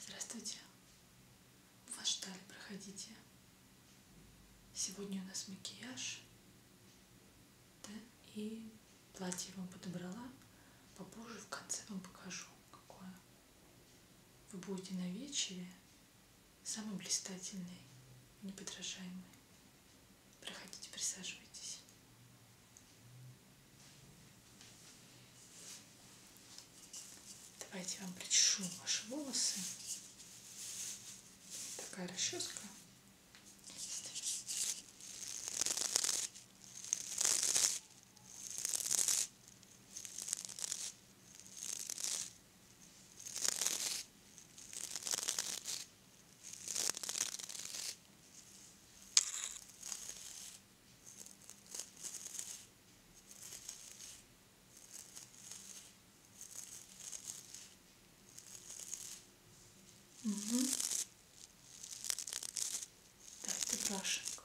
Здравствуйте. Вас ждали, проходите. Сегодня у нас макияж. Да? И платье я вам подобрала. Попозже в конце вам покажу, какое. Вы будете на вечере самый блистательный, неподражаемый. Проходите, присаживайтесь. Давайте я вам причешу ваши волосы. Такая расческа. Угу. Дайте брашеньку.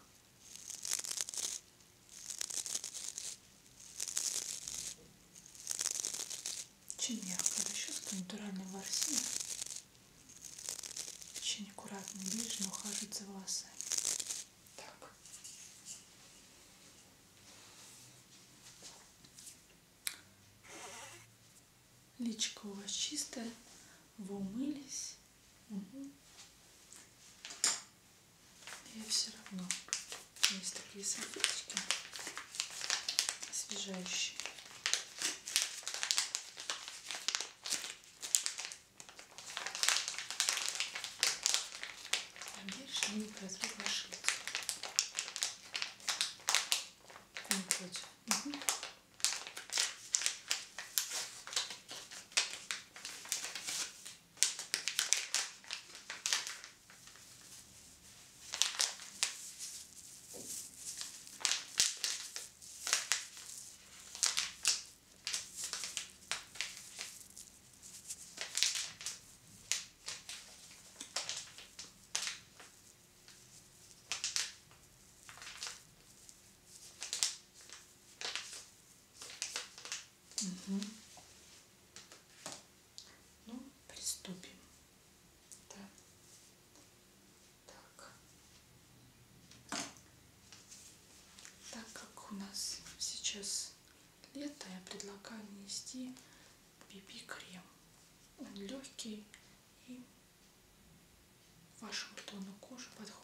Чиньяк буду еще что натуральный ворсин. Очень аккуратно бережно ухаживать за волосами. Так. Личико у вас чистое. Вы умылись. Угу. Я все равно. Есть такие салфеточки освежающий. Проверь, что не прозрит ваше лицо. Не против. Угу. Угу. Ну, приступим. Да. Так. так как у нас сейчас лето, я предлагаю нанести BB-крем. Он легкий и вашему тону кожи подходит.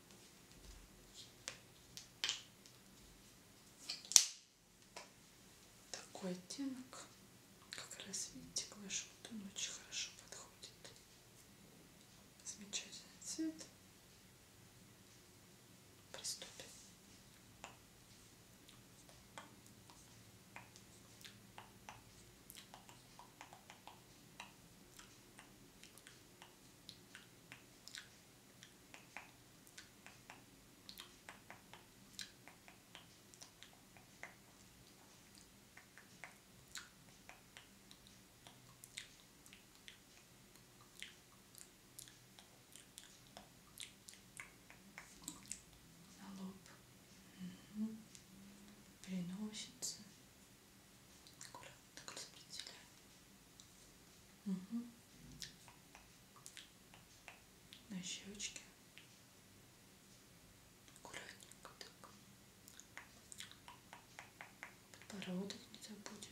Такой оттенок, как раз видите, к вашему тону очень хорошо подходит. Замечательный цвет. Приступим на лоб угу. переносится аккуратно так распределяем. Угу. На щечке. Аккуратненько так. Подбородок не забудем.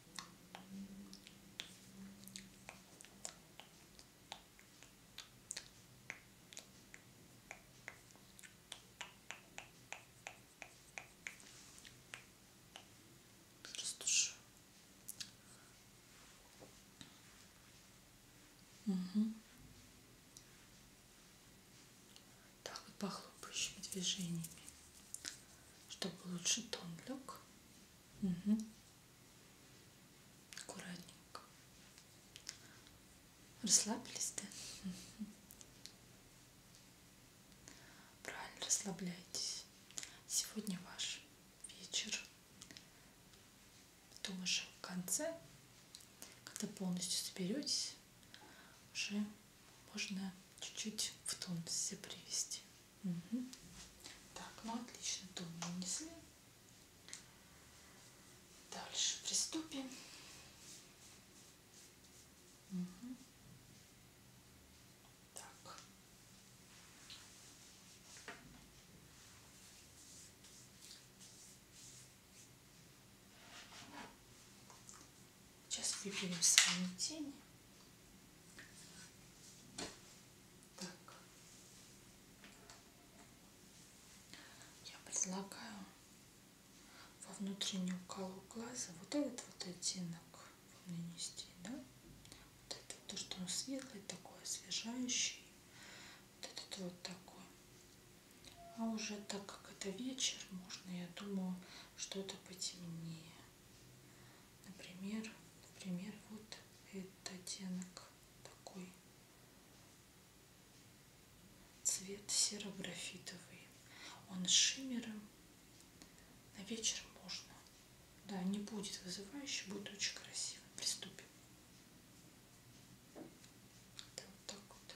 Растушу. Угу. Так вот похлопающими движениями, чтобы лучше тон лег. Угу аккуратненько расслабились да угу. правильно расслабляйтесь сегодня ваш вечер потом уже в конце когда полностью соберетесь уже можно чуть-чуть в тонусе привести Угу. Так, ну отлично, тон нанесли. Дальше приступим. Угу. Так. Сейчас выпьем с вами тени. Так. Я предлагаю во внутреннюю колу глаза вот этот вот оттенок вам нанести, да? Вот это то, что он светлый, такой освежающий. Вот этот вот такой. А уже так как это вечер, можно, я думаю, что-то потемнее. Например, например, вот этот оттенок такой цвет серо-графитовый. Он с шиммером. На вечер можно. Да, не будет вызывающе, будет очень красиво. Приступим. Это вот так вот.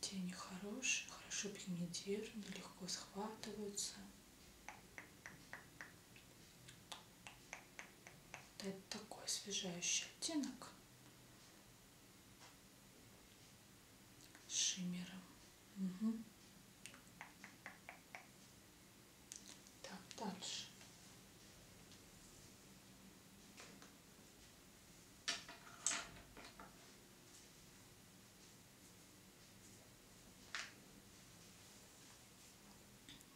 Тени хорошие, хорошо пигментированы, легко схватываются. Это такой освежающий оттенок с шиммером. Угу. Так, дальше.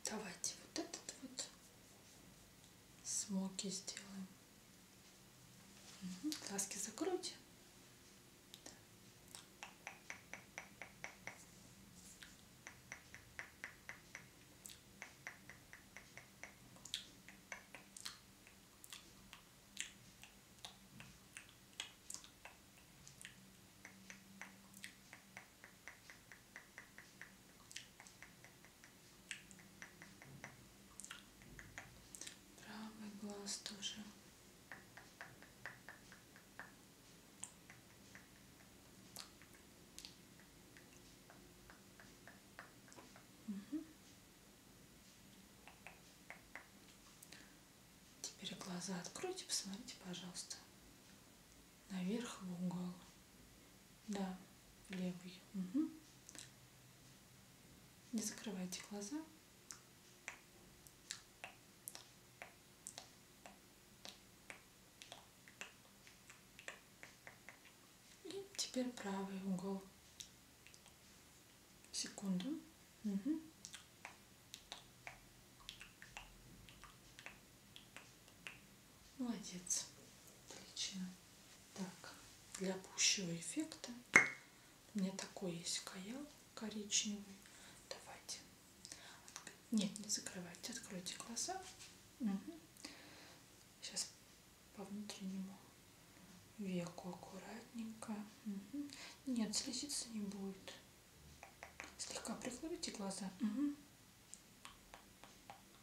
Давайте вот этот вот смоки сделаем. Угу. Глазки закройте. Правый глаз тоже. Угу. Теперь глаза откройте, посмотрите, пожалуйста. Наверх в угол. Да, левый. Угу. Не закрывайте глаза. И теперь правый угол. Секунду. Угу. Молодец. Отлично. Так, для пущего эффекта у меня такой есть каял коричневый. Давайте. Нет, не закрывайте. Откройте глаза. Угу. Сейчас по внутреннему веку аккуратненько. Угу. Нет, слезиться не будет. Слегка прикройте глаза. Угу.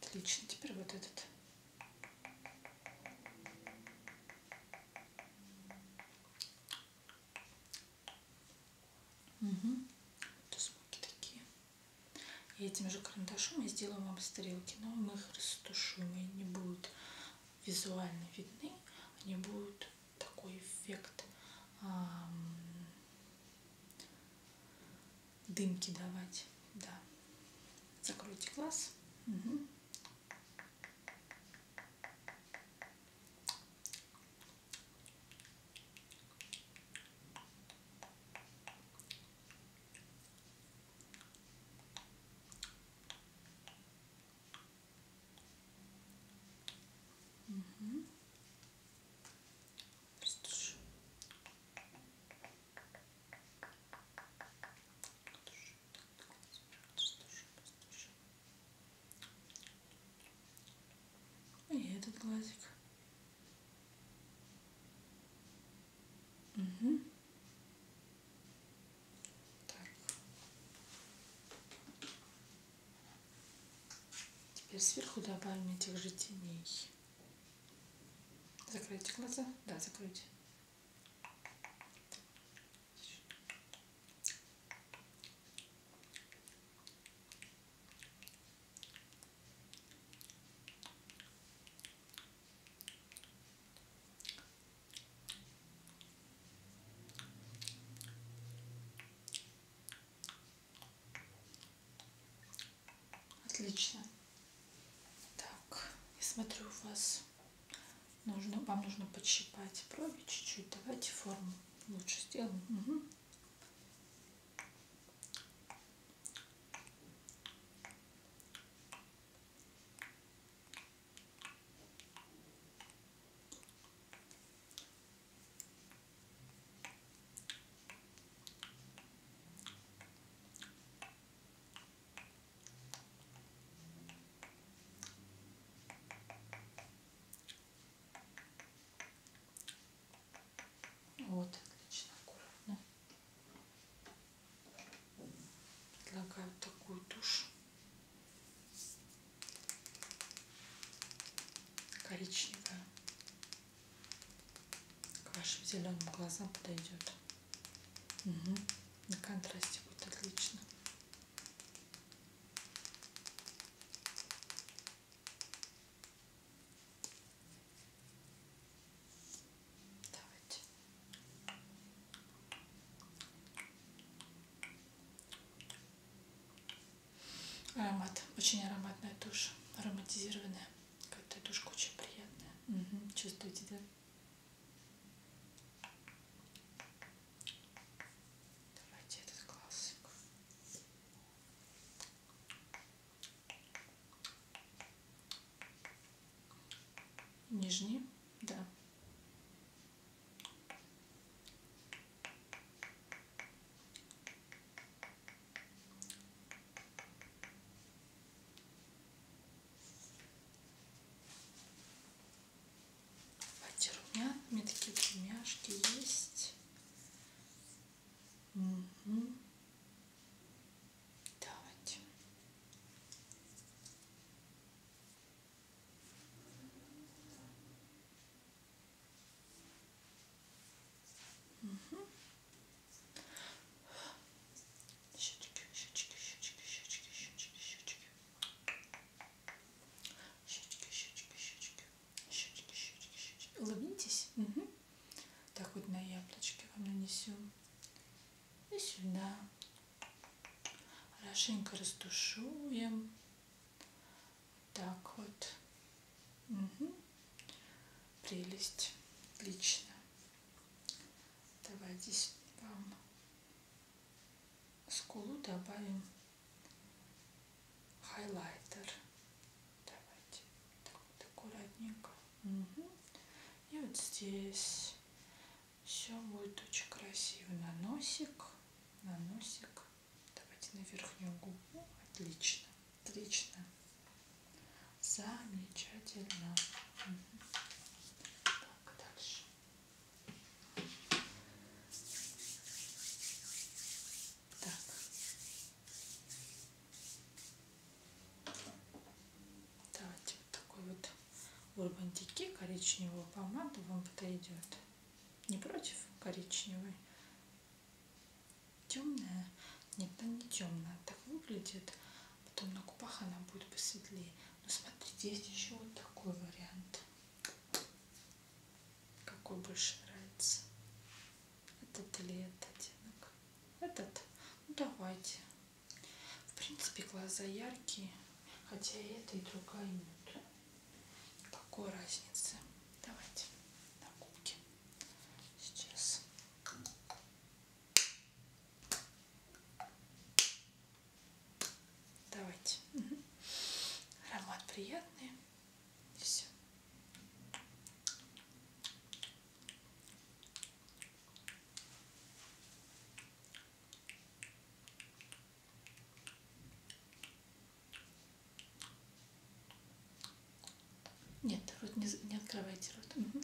Отлично. Теперь вот этот. Угу. Это звуки такие. И этим же карандашом я сделаю вам из тарелки, но мы их растушим, и не будет визуально видны, они будут такой эффект эм, дымки давать. Да. Закройте глаз. Угу. Угу. Стушу. И этот глазик. Угу. Так. Теперь сверху добавим этих же теней. Закройте глаза. Да, закройте. Отлично. Так, я смотрю, у вас нужно, вам нужно подщипать брови чуть-чуть. Давайте форму лучше сделаем. Угу. Вот, отлично, аккуратно предлагаю такую тушь коричневая к вашим зеленым глазам подойдет угу. на контрасте будет отлично Давайте. Аромат. Очень ароматная тушь. Ароматизированная. Какая-то тушка очень приятная. Угу. Чувствуете, да? Давайте этот классик нижний, да. Давайте румяна, у меня такие румяшки есть. Угу. Давайте. Угу. Щечки, щечки, щечки, щечки, щечки, щечки. Щечки, щечки, щечки. Щечки, щечки, щечки. Улыбнитесь. Угу. Так вот на яблочке вам нанесем. И сюда. Хорошенько растушуем. Так вот. Угу. Прелесть. Отлично. Давай здесь вам скулу добавим хайлайтер. Давайте так вот аккуратненько. Угу. И вот здесь все будет очень красиво. На носик, на носик. Давайте на верхнюю губу. Отлично, отлично. Замечательно. Так, а дальше. Так. Давайте вот такой вот Urban Decay коричневую помаду вам подойдет. Не против коричневой? Темная? Нет, она не темная. А так выглядит. Потом на купах она будет посветлее. Но смотрите, есть еще вот такой вариант. Какой больше нравится? Этот или этот оттенок? Этот? Ну давайте. В принципе, глаза яркие, хотя и это, и другая нет. Какой разницы? Давайте на губки. Сейчас. Давайте. Угу. Аромат приятный. И все. Нет, рот не, не открывайте рот. Угу.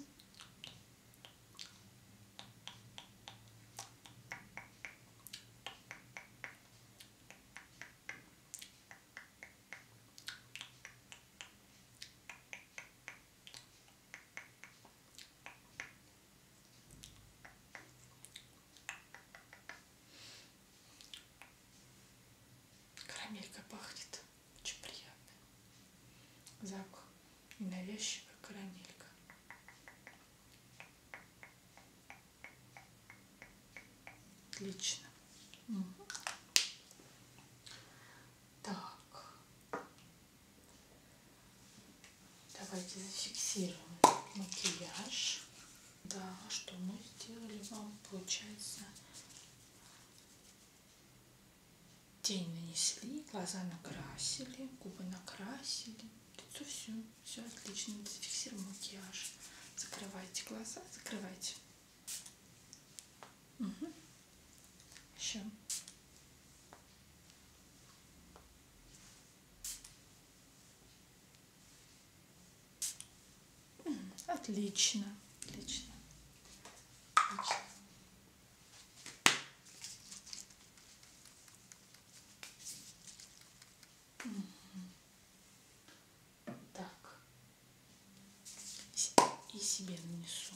Карамелька пахнет. Очень приятный запах. Ненавязчивая карамелька. Отлично. Угу. Так. Давайте зафиксируем макияж. Да, что мы сделали вам, получается, тень нанесли, глаза накрасили, губы накрасили, лицо все, все отлично, зафиксируем макияж. Закрывайте глаза, закрывайте. Угу. Що? Отлично, отлично. отлично. Так. И себе нанесу.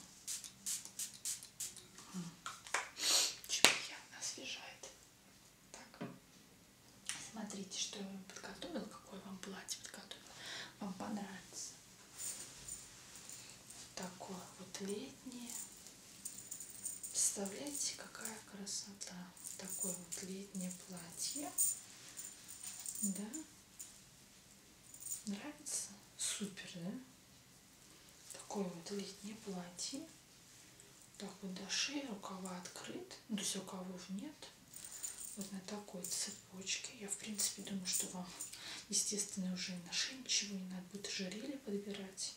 Очень приятно освежает. Так. Смотрите, что я вам подготовила, какое вам платье подготовила. Вам понравится. Вот такое вот летнее. Представляете, какая красота. Вот такое вот летнее платье. Да? Нравится? Супер, да? Такое вот летнее платье. Так вот до шеи, рукава открыт, ну, то есть рукавов нет. Вот на такой цепочке. Я, в принципе, думаю, что вам, естественно, уже на шее ничего не надо будет ожерелье подбирать.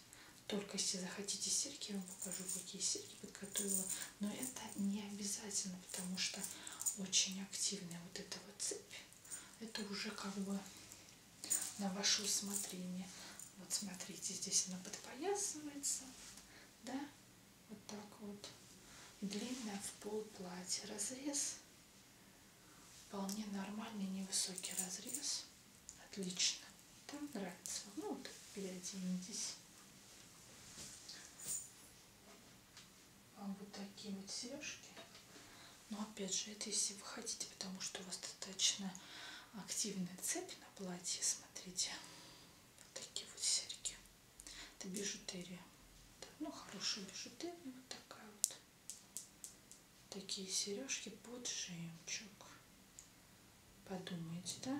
Только если захотите серьги, я вам покажу, какие серьги подготовила. Но это не обязательно, потому что очень активная вот эта вот цепь. Это уже как бы на ваше усмотрение. Вот смотрите, здесь она подпоясывается, да, вот так вот. Длинное в пол платье. Разрез вполне нормальный, невысокий разрез. Отлично. Там нравится. Ну, вот переоденетесь. А вот такие вот сережки но опять же, это если вы хотите, потому что у вас достаточно активная цепь на платье, смотрите. Вот такие вот серьги. Это бижутерия. Ну, хорошая бижутерия, вот такая вот. Такие сережки под жемчуг. Подумайте, да?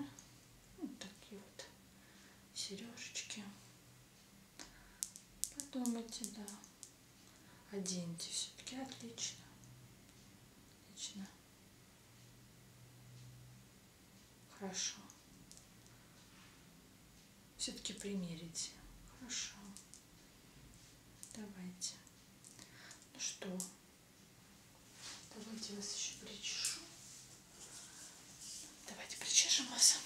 Вот такие вот сережечки. Подумайте, да оденьте все-таки отлично. Отлично. Хорошо. Все-таки примерите. Хорошо. Давайте. Ну что, давайте вас еще причешу. Давайте причешем вас.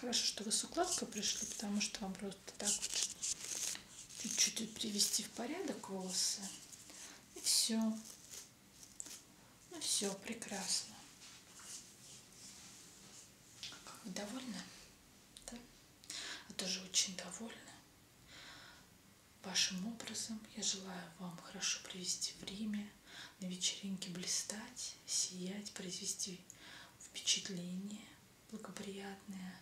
Хорошо, что вы с укладкой пришли, потому что вам просто так вот чуть-чуть привести в порядок волосы. И все. Ну все, прекрасно. Как вы довольны? Да? А тоже очень довольна. Вашим образом я желаю вам хорошо провести время, на вечеринке блистать, сиять, произвести впечатление благоприятное.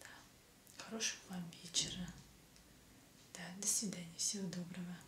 Да. Хорошего вам вечера. Да, до свидания, всего доброго.